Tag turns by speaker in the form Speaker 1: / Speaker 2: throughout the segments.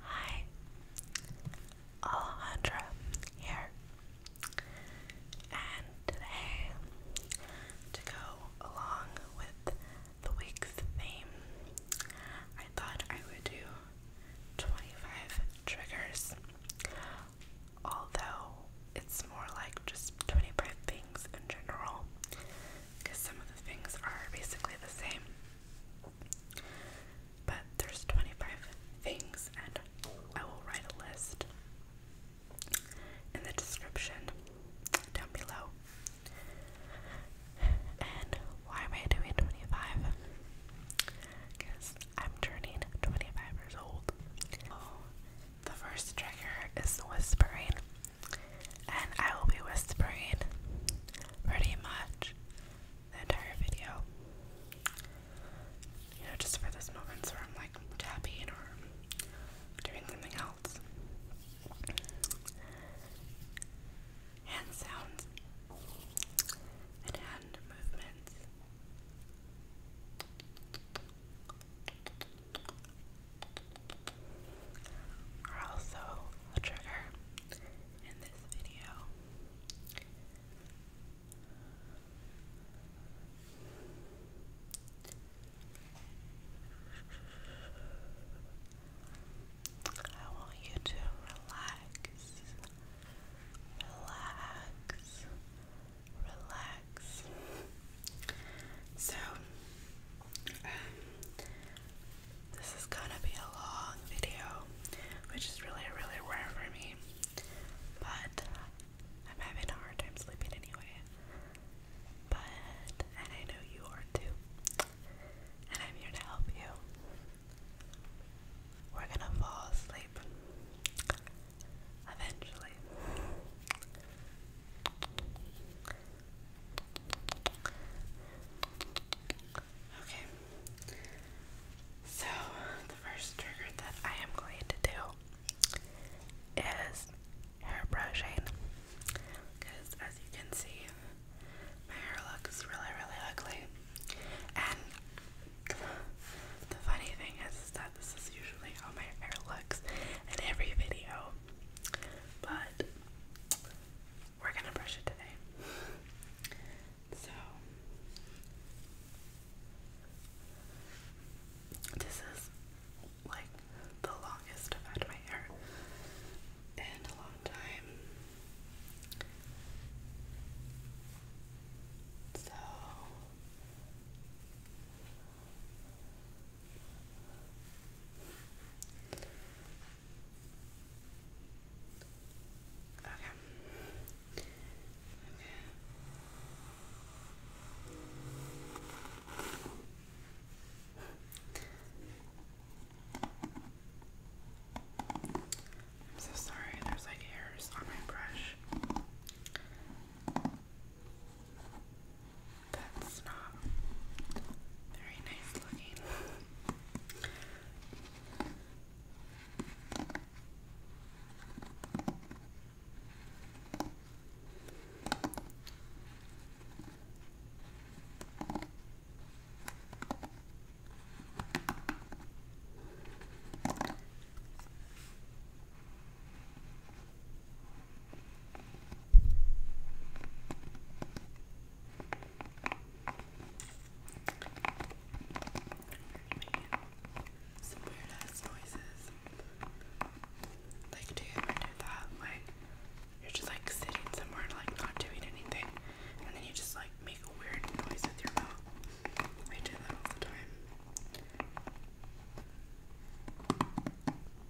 Speaker 1: Hi, Alejandra here, and today, to go along with the week's theme, I thought I would do 25 triggers, although it's more like just 25 things in general because some of the things are basically the same. But there's 25 things, and I will write a list in the description down below. And why am I doing 25? Because I'm turning 25 years old. the first trigger is whispering and I will be whispering pretty much the entire video. You know, just for those moments where I'm like tapping or doing something else. Hand sounds and hand movements are also a trigger in this video. I want you to relax, relax, relax. So, this is gonna be a long video, which is really, really rare for me. But I'm having a hard time sleeping anyway. But, and I know you are too. And I'm here to help you. We're gonna fall asleep. Eventually. Okay. So, the first trigger that I am going to do is hair brushing. Because, as you can see, my hair looks really, really ugly. And the funny thing is, that this is usually how my hair looks in every video. But we're gonna brush it today. So this is like the longest I've had my hair in a long time. So Okay. Okay. I'm so sorry, there's like hairs on my brush. That's not very nice looking. Some weird noises. Like, do you ever do that? Like, you're just like sitting somewhere, and, like not doing anything, and then you just like make a weird noise with your mouth. I do that all the time.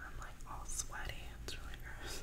Speaker 1: I'm like all sweaty, it's really gross.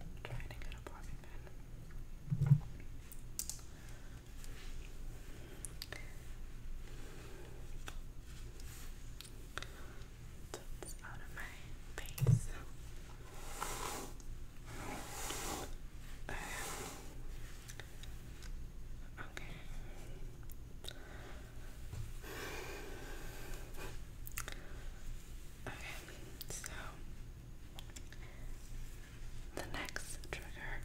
Speaker 1: I'm trying to get a bobby pin. That's out of my face. okay. Okay, so the next trigger,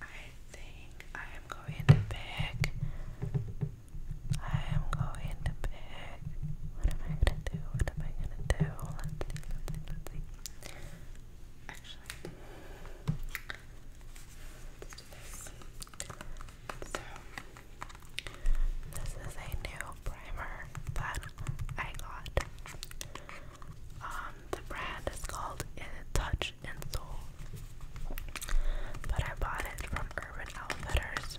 Speaker 1: I think I am going to pick. I am going to pick. What am I gonna do? What am I gonna do? Let's see, let's see, let's see. Let's this. is a new primer that I got. Um, the brand is called Touch and Soul, but I bought it from Urban Outfitters.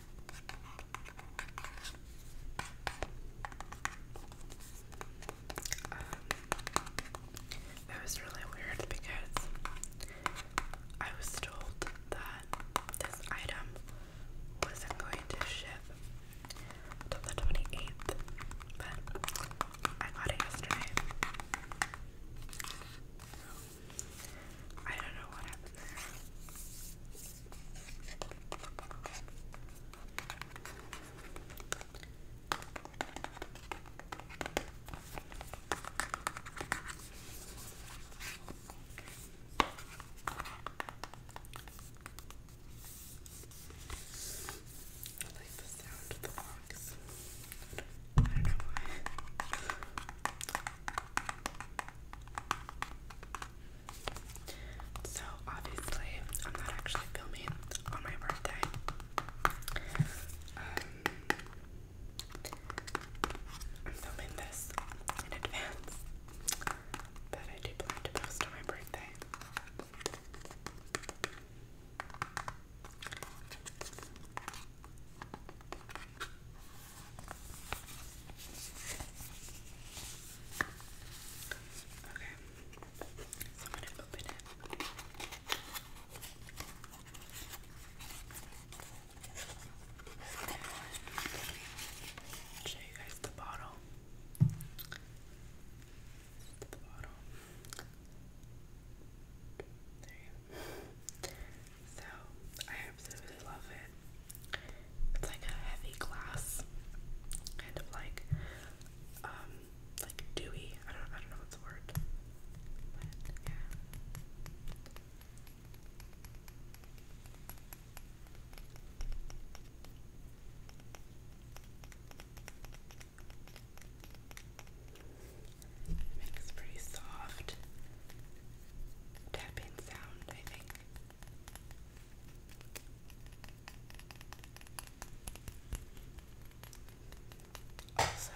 Speaker 1: Um, it was really weird because I was told that this item wasn't going to ship until the 28th, but I got it yesterday. I don't know what happened there. I like the sound of the box. I don't know why. So, obviously, I'm not actually filming on my birthday. Um, I'm filming this in advance, but I do plan to post on my birthday. Okay, show you guys The bottle. There you go. So I absolutely love it. It's like a heavy glass, kind of like, um, like dewy. I don't, I don't know what's the word. But yeah. makes pretty soft tapping sound, I think. So,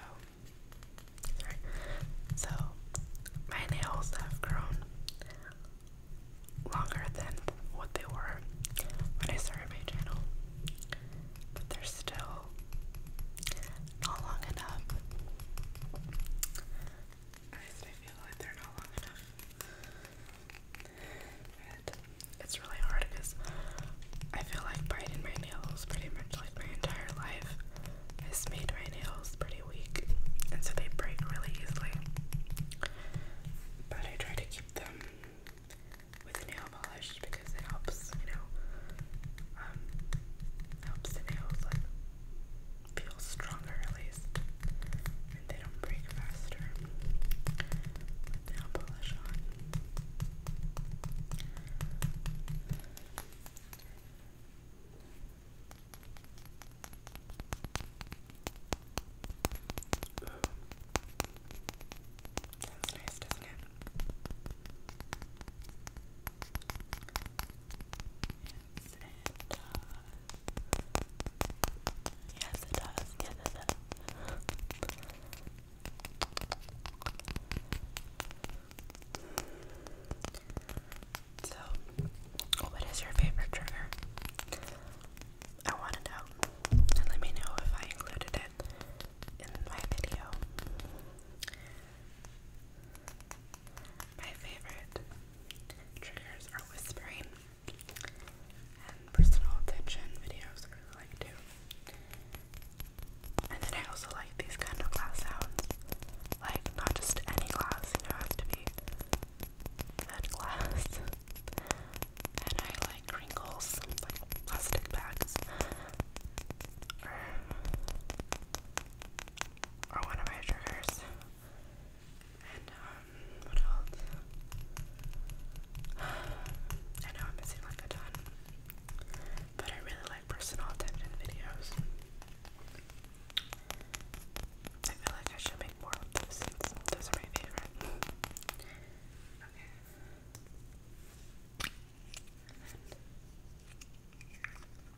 Speaker 1: sorry. my nails have grown longer than what they were when I started my channel, but they're still not long enough I feel like they're not long enough. And it's really hard because I feel like biting my nails pretty much like my entire life has made my nails pretty weak, and so they break really easily. But I try to keep them with nail polish because it helps, you know, um, helps the nails like feel stronger at least. I they don't break faster with nail polish on. Ooh. nice, doesn't it? it does. Yes, it does. Yes, it does. So, what is your favorite trigger? I want to know. And let me know if I included it in my video. My favorite triggers are whispering and personal attention videos. I like too. And then I also like these kind of glass sounds. Like, not just any glass, you it has to be that glass. And I like wrinkles, like plastic bags. Or, one of my triggers and um, what else? I know I'm missing like a ton, but I really like personal attention videos. I feel like I should make more of those since those are my favorite.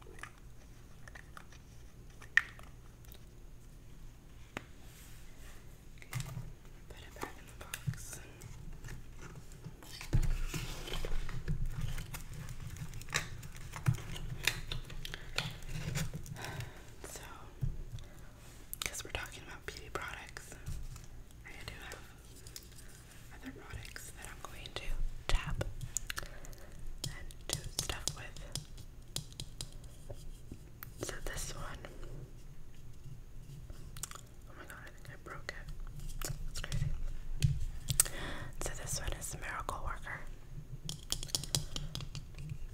Speaker 1: okay. So, because we're talking about beauty products, I do have other products that I'm going to tap and do stuff with. So this one, oh my god, I think I broke it. That's crazy. So this one is Miracle Worker.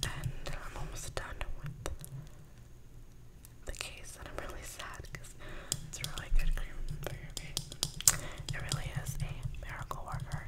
Speaker 1: And I'm almost done with the case, and I'm really sad because it's really good cream It really is a miracle worker.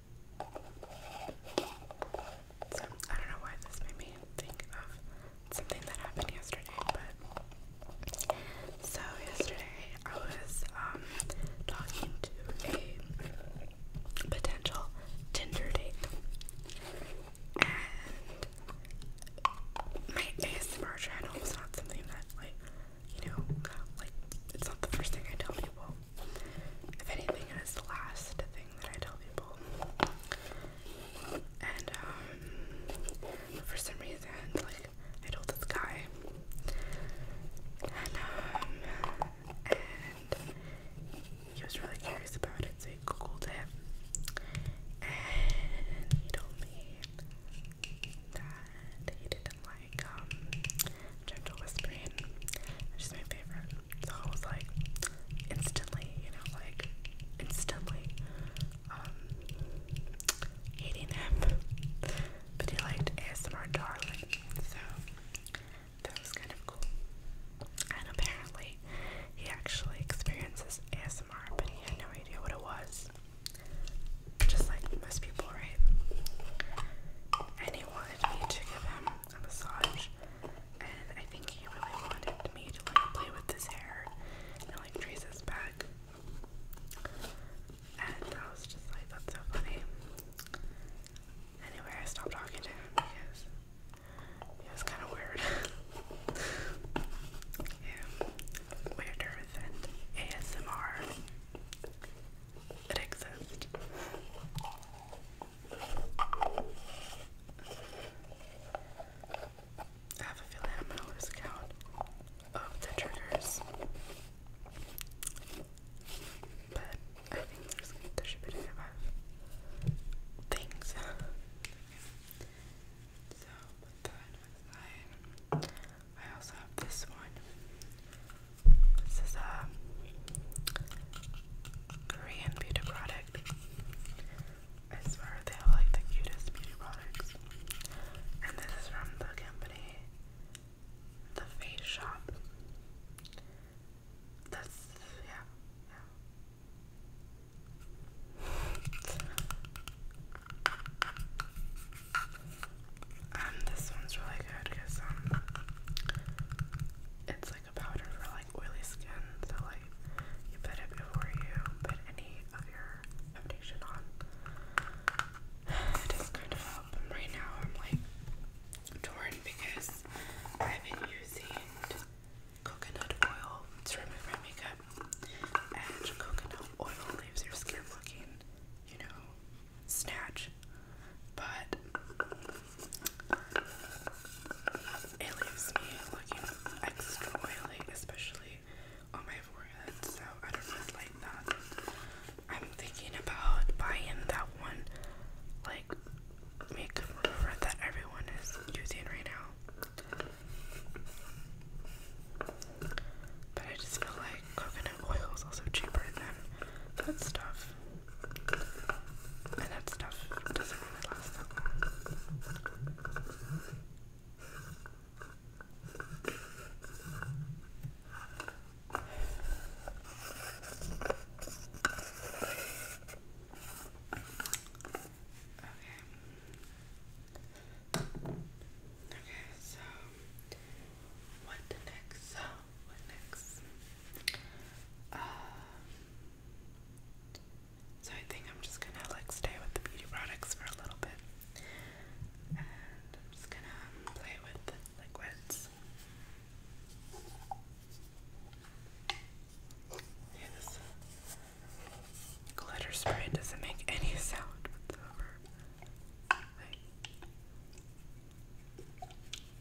Speaker 1: So, I don't know why this made me think of something that happened yesterday, but. So, yesterday I was um, talking to a potential Tinder date, and my ASMR channel was not something that, like, you know, like, it's not the first thing I tell people if anything, it is the last thing that I tell people. And um, for some reason, like I told this guy, and um, and he was really curious about it, so he googled it, and he told me that he didn't like um, gentle whispering, which is my favorite. So I was like, instantly, you know, like, instantly, um, hating him. But he liked ASMR Darling, so that was kind of cool. And apparently, he actually experiences ASMR, but he had no idea what it was. Just like most people, right? And he wanted me to give him a massage, and I think he really wanted me to like play with his hair and like trace his back. And I was just like, that's so funny. Anyway, I stopped talking to him because it was kind of weird. weirder than ASMR. It I have a feeling I'm gonna lose count of the triggers. But I think there's there should be five things. so but I also have this one. This is a Korean beauty product. I swear they have like the cutest beauty products. And this is from the company The Face Shop. That's yeah, yeah. And this one's really good because um, it's like a powder for like oily skin. So like you put it before you put any of your foundation on. It does kind of help. right now I'm like torn because I've been using coconut oil to remove my makeup, and coconut oil leaves your skin looking, you know, snatch, but it leaves me looking extra oily, especially on my forehead, so I don't really like that. I'm thinking about buying that one, like, makeup remover that everyone is using right now. But I just feel like coconut oil is also cheaper than that stuff that stuff doesn't really last that long. Okay. Okay, so what the next uh, so I think I'm just gonna like stay with the beauty products for a little bit, and I'm just gonna play with liquids. Yeah, glitter spray doesn't make any sound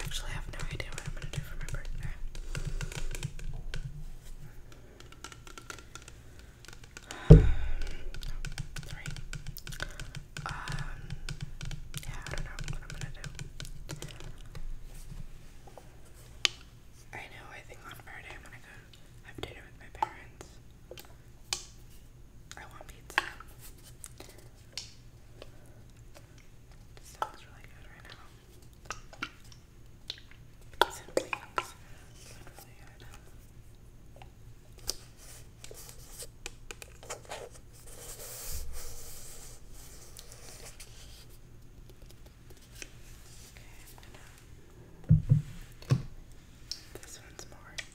Speaker 1: Actually, I have no idea what I'm gonna do for my birthday. Um, Um, yeah, I don't know what I'm gonna do. I know, I think on Friday I'm gonna go have dinner with my parents. I want pizza. This sounds really good right now. Simply sounds really good. Okay, I'm um, gonna. This one's more. Ready?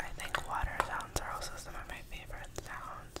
Speaker 1: I think water sounds are also some of my favorite sounds.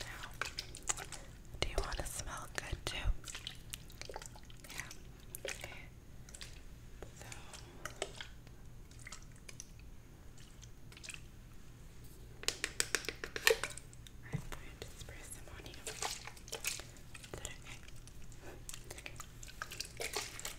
Speaker 1: Now, do you want to smell good too? Yeah. Okay. So. I'm going to spray some on you. Is that okay? okay.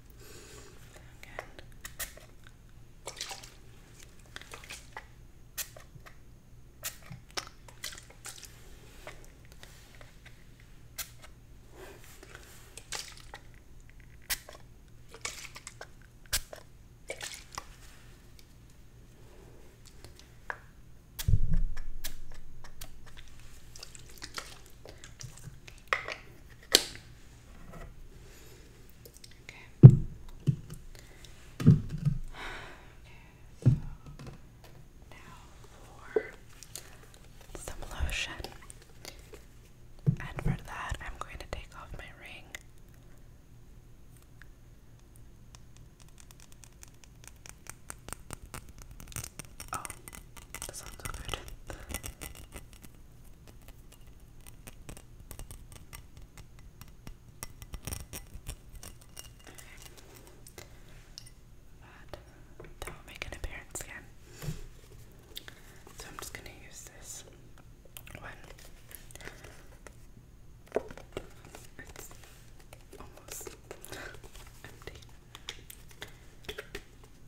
Speaker 1: Again. Okay. Okay. Okay, now for some lotion. And for that, I'm going to take off my ring. Oh, that sounds so good. But that will make an appearance again. So I'm just going to use this one. It's almost empty.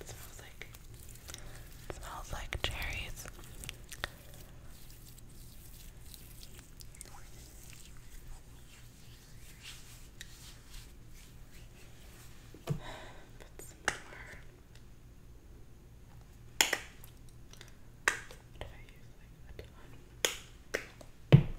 Speaker 1: It smells like it smells like cherries. Put some more. What did I use like a ton?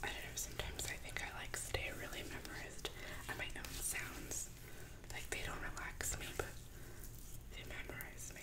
Speaker 1: I don't know, sometimes I think I like stay really memorized at my own sounds. Like they don't relax me, but they memorize me.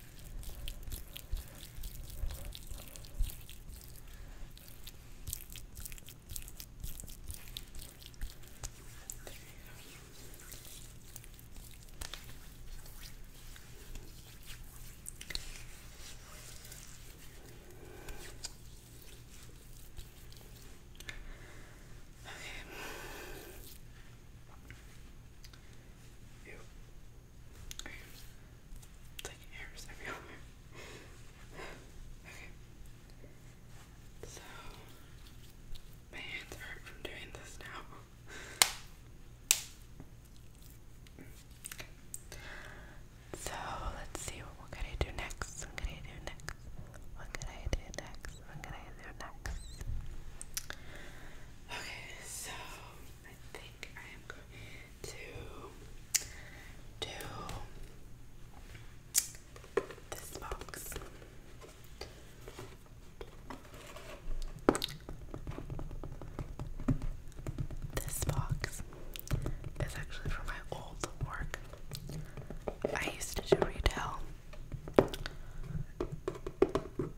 Speaker 1: Okay. Ew. So my hands hurt from doing this now. So let's see what can I do next. What can I do next? What can I do next? What can I do next? Okay, so I am going to do this box. This box is actually from my old work. I used to do retail.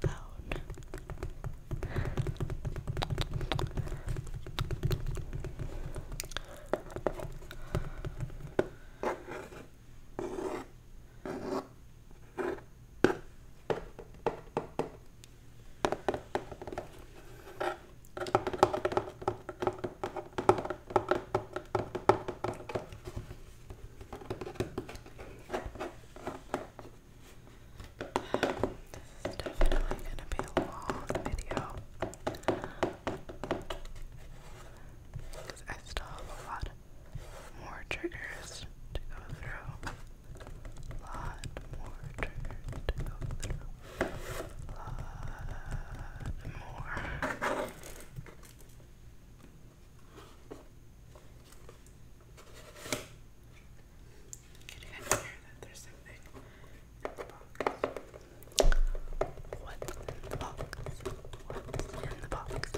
Speaker 1: phone. This is definitely gonna be a long video because I still have a lot more triggers to go through. A lot more triggers to go through. A lot more. You can hear that there's something in the box. What's in the box? What's in the box?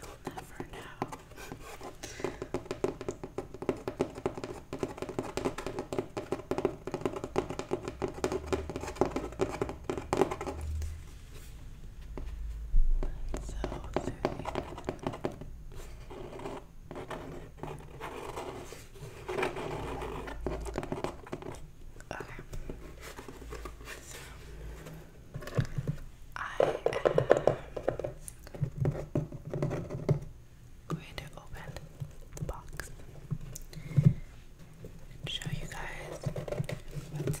Speaker 1: You'll never know. So I am going to open the box show you guys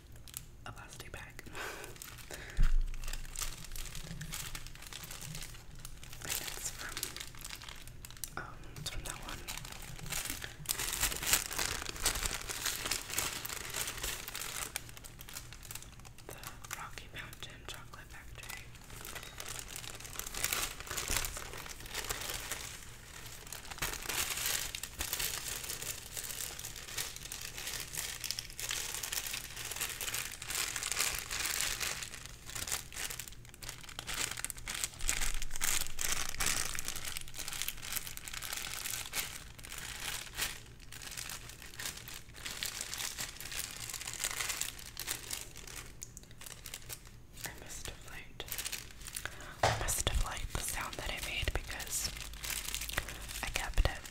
Speaker 1: a plastic bag. and um, it's from that one. The Rocky Mountain Chocolate Factory. I missed a liked I missed a liked the sound that I made because I kept it.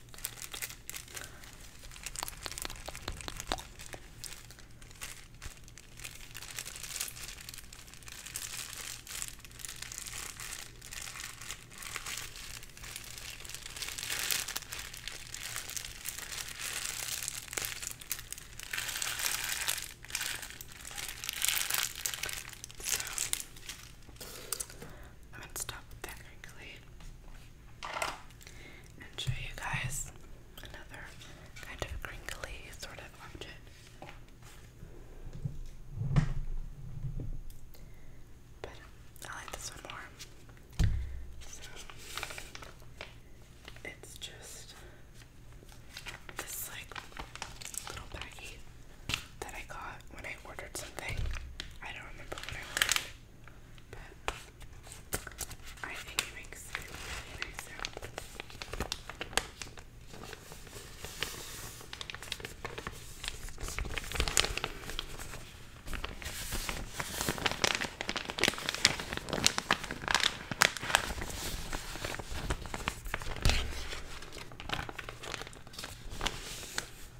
Speaker 1: So I'm gonna stop that crinkly and show you guys another kind of crinkly sort of object. But I like this one more. it's just this like little baggie that I got when I ordered something. I don't remember what I ordered, but I think it makes a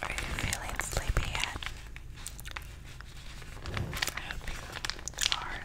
Speaker 1: Are you feeling sleepy yet? I hope you are.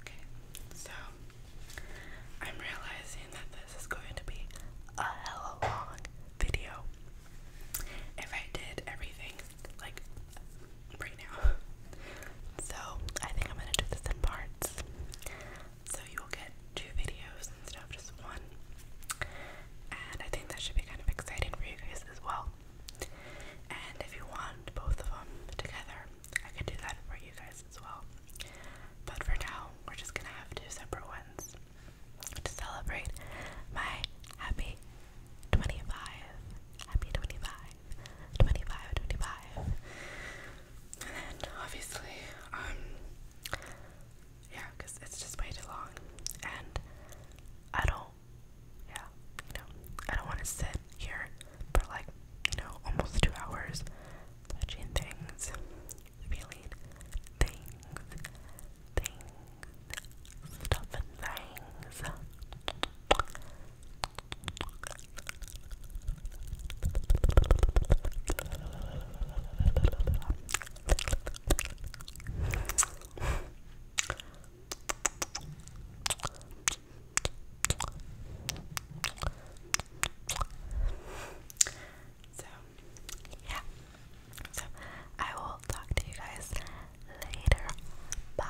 Speaker 1: Okay, so I'm realizing that this is going to be a hella long video. If I did everything like right now. So I think I'm gonna do this in parts so you will get two videos instead of just one. And I think that should be kind of exciting for you guys as well. And if you want both of them together, I could do that for you guys as well. But for now, we're just gonna have two separate ones to celebrate my happy 25. Happy 25. And then obviously, um, yeah, because it's just way too long, and I don't, yeah, you I don't want to sit here for like, you know, almost two hours touching things, feeling things, things, stuff and things. So, yeah. So, I will talk to you guys later. Bye.